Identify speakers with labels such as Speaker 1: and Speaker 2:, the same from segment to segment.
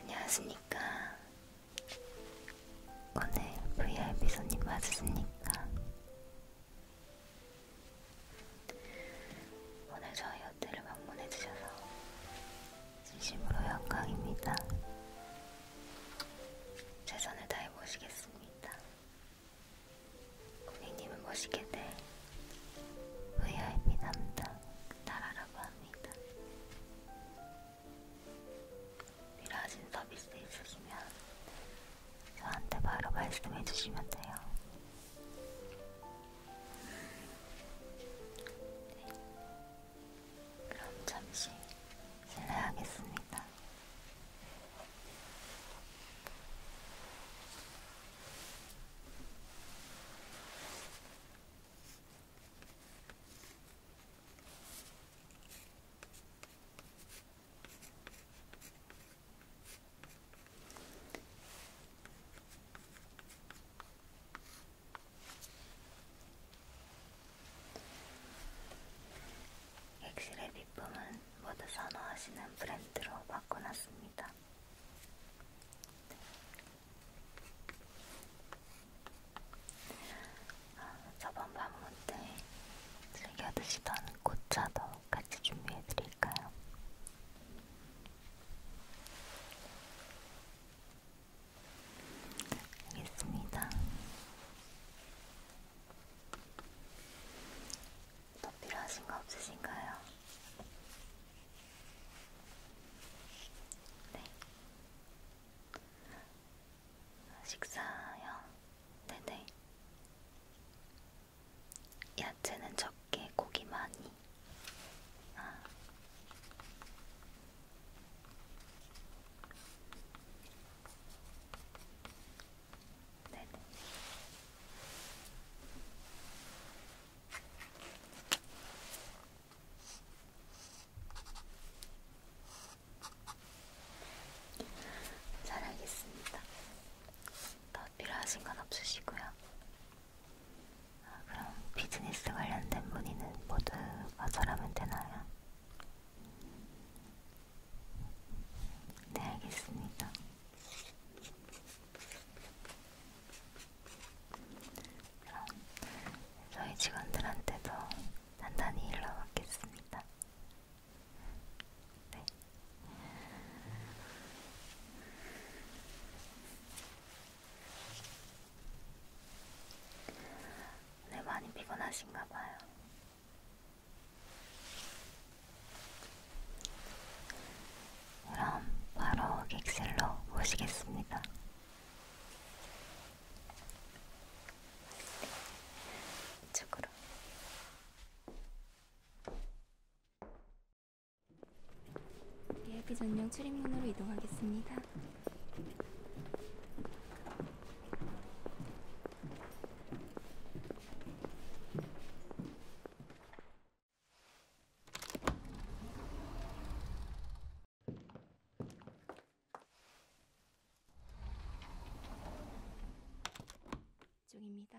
Speaker 1: 안녕하십니까. 오늘 VIP 손님 맞으십니까? 오늘 저희 호텔을 방문해주셔서 진심으로 영광입니다. 최선을 다해 모시겠습니다. 고객님은 모시게 될 VIP 담당 나라라고 합니다. 필요하신 서비스 있으시면 저한테 바로 말씀해 주시면 돼요. 네. 그럼 잠시 실례하겠습니다. 엑실의 비품은 모두 선호하시는 브랜드로 바꿔놨습니다. 네. 아, 저번 방문 때 즐겨 드시던 꽃차도 같이 준비해 드릴까요? 여기 있습니다. 더 필요하신 거 없으신가요? 네. 식사요? 네네. 야채는 적게, 고기 많이. 아. 네네. 잘 알겠습니다. 더 필요하신 건 없으시고요. 아, 그럼 비즈니스 관련된 문의는 모두 거절하면 되나요? 네, 알겠습니다. 그럼 저희 직원들한테도 단단히 일러받겠습니다. 네. 네, 많이 피곤하신가 봐요. 그럼 바로 객실로 모시겠습니다. 이쪽으로. 예비 전용 출입문으로 이동하겠습니다. 중입니다.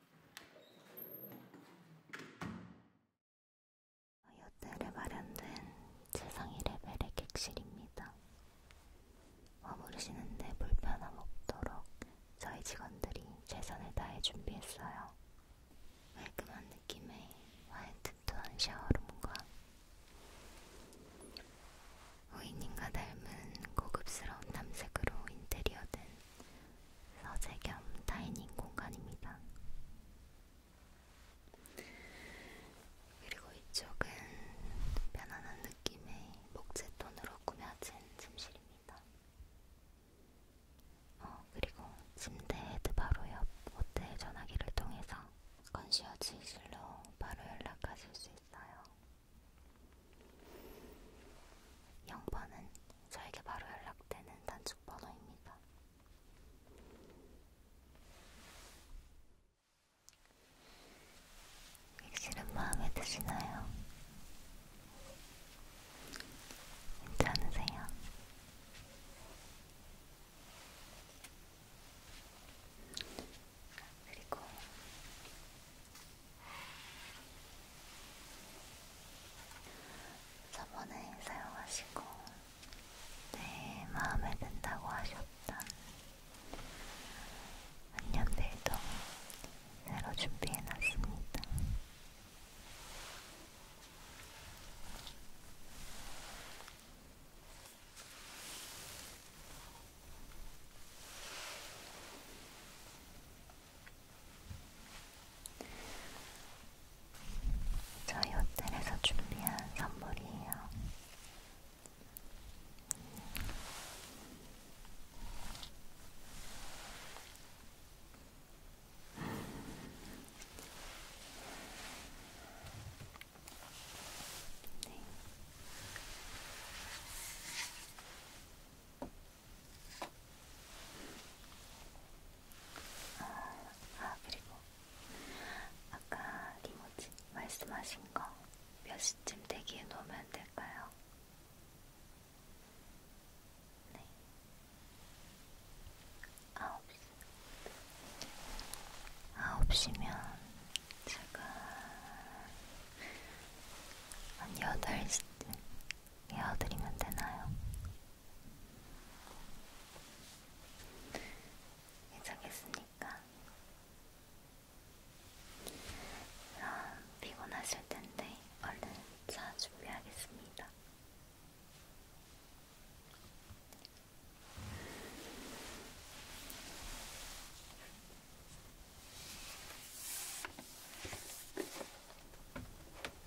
Speaker 1: 요때에 마련된 최상위 레벨의 객실입니다. 머무르시는데 불편함 없도록 저희 직원들이 최선을 다해 준비했어요. 깔끔한 느낌의 화이트 톤 샤워룸과 우이님과 닮은 고급스러운 남색으로 인테리어된 서재 겸 다이닝 공간입니다. 그리고 이쪽은 편안한 느낌의 목재 톤으로 꾸며진 침실입니다. 어, 그리고 침대 헤드 바로 옆 호텔 전화기를 통해서 건시어지실로 바로 연락하실 수 있어요. 0번은 저에게 바로 연락되는 단축 번호입니다. 객실은 마음에 드시나요? 괜찮으세요? 그리고 저번에 사용하시고 네 마음에 든다고 하셨던 안녕벨도 새로 준비해놨습니다. 저희 호텔에서 준비한 선물이에요. 네. 아, 아 그리고 아까 리모지 말씀하신 거 몇 시쯤 대기해 놓으면 될까요? 네. 아홉 시. 아홉 시면 제가 한 여덟 시쯤 이어드리면 되나요? 예정했으니까 그럼 피곤하실 텐데 얼른 차 준비하겠습니다.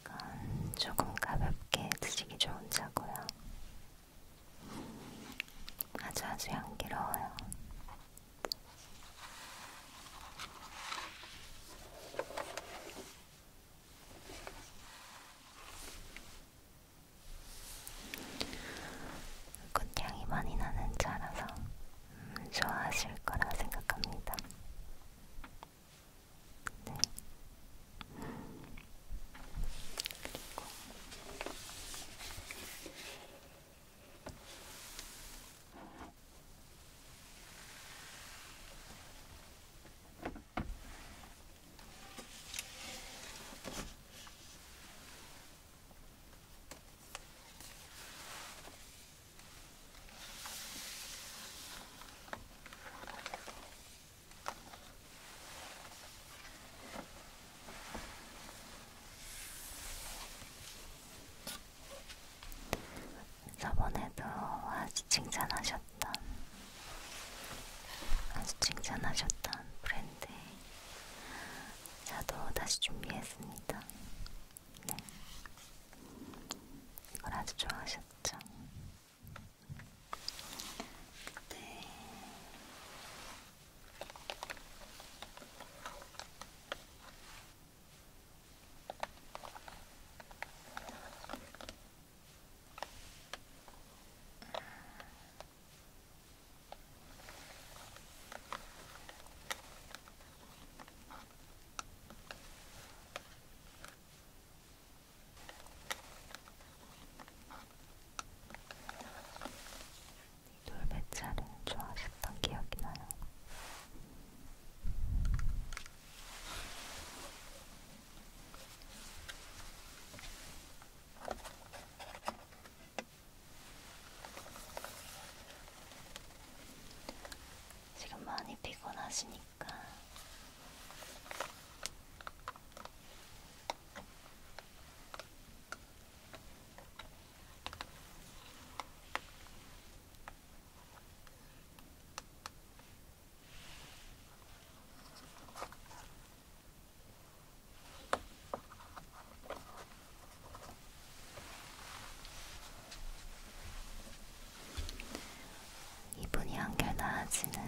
Speaker 1: 이건 조금 가볍게 드시기 좋은 차고요. 아주 아주 향기로워요. 꽃향이 많이 나는 차라서 음, 좋아하실 거라 생각합니다. 네. 그리고 저번에도 아주 칭찬하셨던 아주 칭찬하셨던 브랜드의 자도 다시 준비했습니다. 네. 이걸 아주 좋아하셨죠? 네. 돌배차를 좋아하셨던 기억이 나요. 지금 많이 피곤하시니까 이분이 한결 나아지는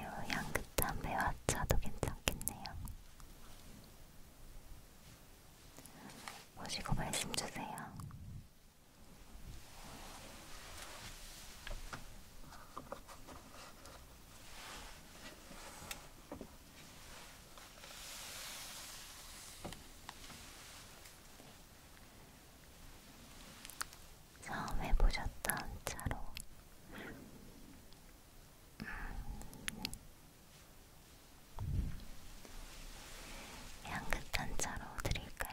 Speaker 1: 요 향긋한 매화차도 괜찮겠네요. 보시고 말씀 주세요. 처음 해보셨던 차로 향긋한 음. 차로 드릴까요?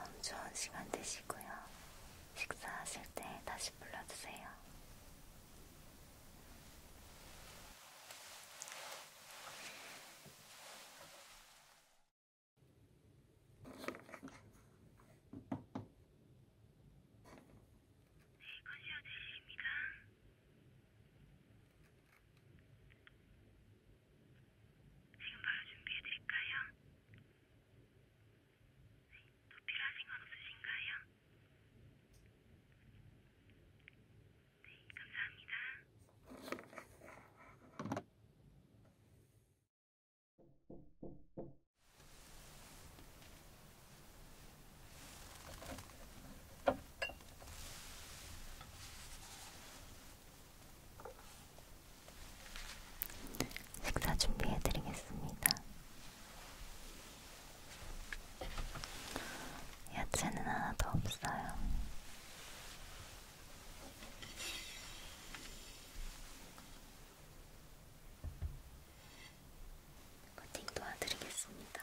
Speaker 1: 그럼 좋은 시간 되시고요. 식사하실 때 다시 불러주세요. 지금 바로 준비해드릴까요? 네, 또 필요하신 건 없으신가요? 네, 감사합니다. 식사 준비해드리겠습니다. 야채는 하나도 없어요. 코팅 도와드리겠습니다.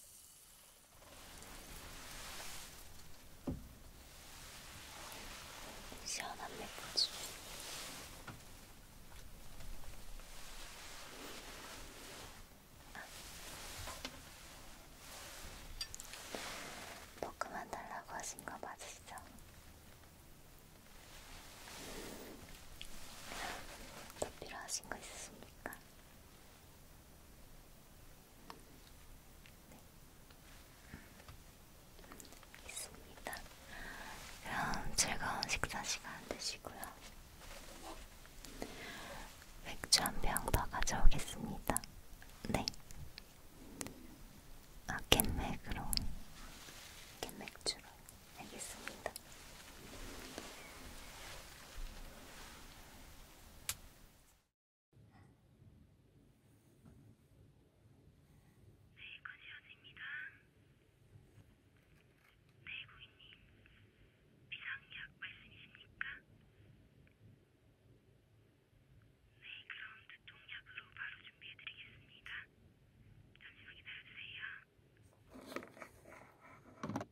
Speaker 1: 시원한 맥주. 아. 뭐 그만 달라고 하신 거 맞으시죠? 더 필요하신 거 있으십니까? 네. 있습니다. 그럼 즐거운 식사 시간 되시고요. 맥주 한 병 더 가져오겠습니다. 네. 아, 캔맥으로. 캔맥주로. 알겠습니다. 네, 거지아즈입니다. 네, 고객님. 비상약 말씀이십니까? 네, 그럼 두통약으로 바로 준비해드리겠습니다. 잠시만 기다려주세요.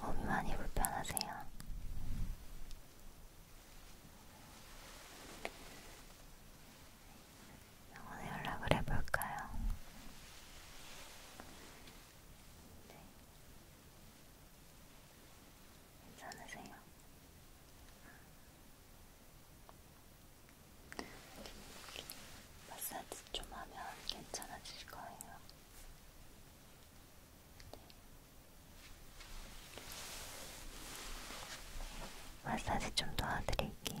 Speaker 1: 몸이 많이 불편하세요? 병원에 연락을 해볼까요? 네. 괜찮으세요? 마사지 좀 하면 괜찮아질 거예요. 네. 마사지 좀 도와드릴게요.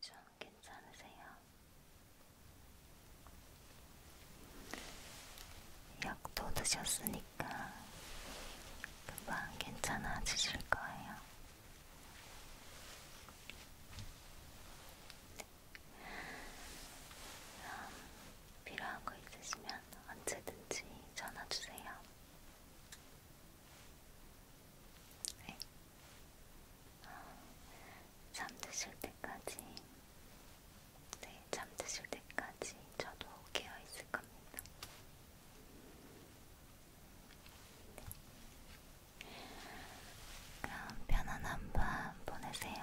Speaker 1: 좀 괜찮으세요? 약도 드셨으니까 금방 괜찮아지실 거예요. 네. 필요한 거 있으시면 언제든지 전화 주세요. 네. 잠드실 때까지, 네, 잠드실 때까지 저도 깨어 있을 겁니다. 네. 그럼 편안한 밤 보내세요.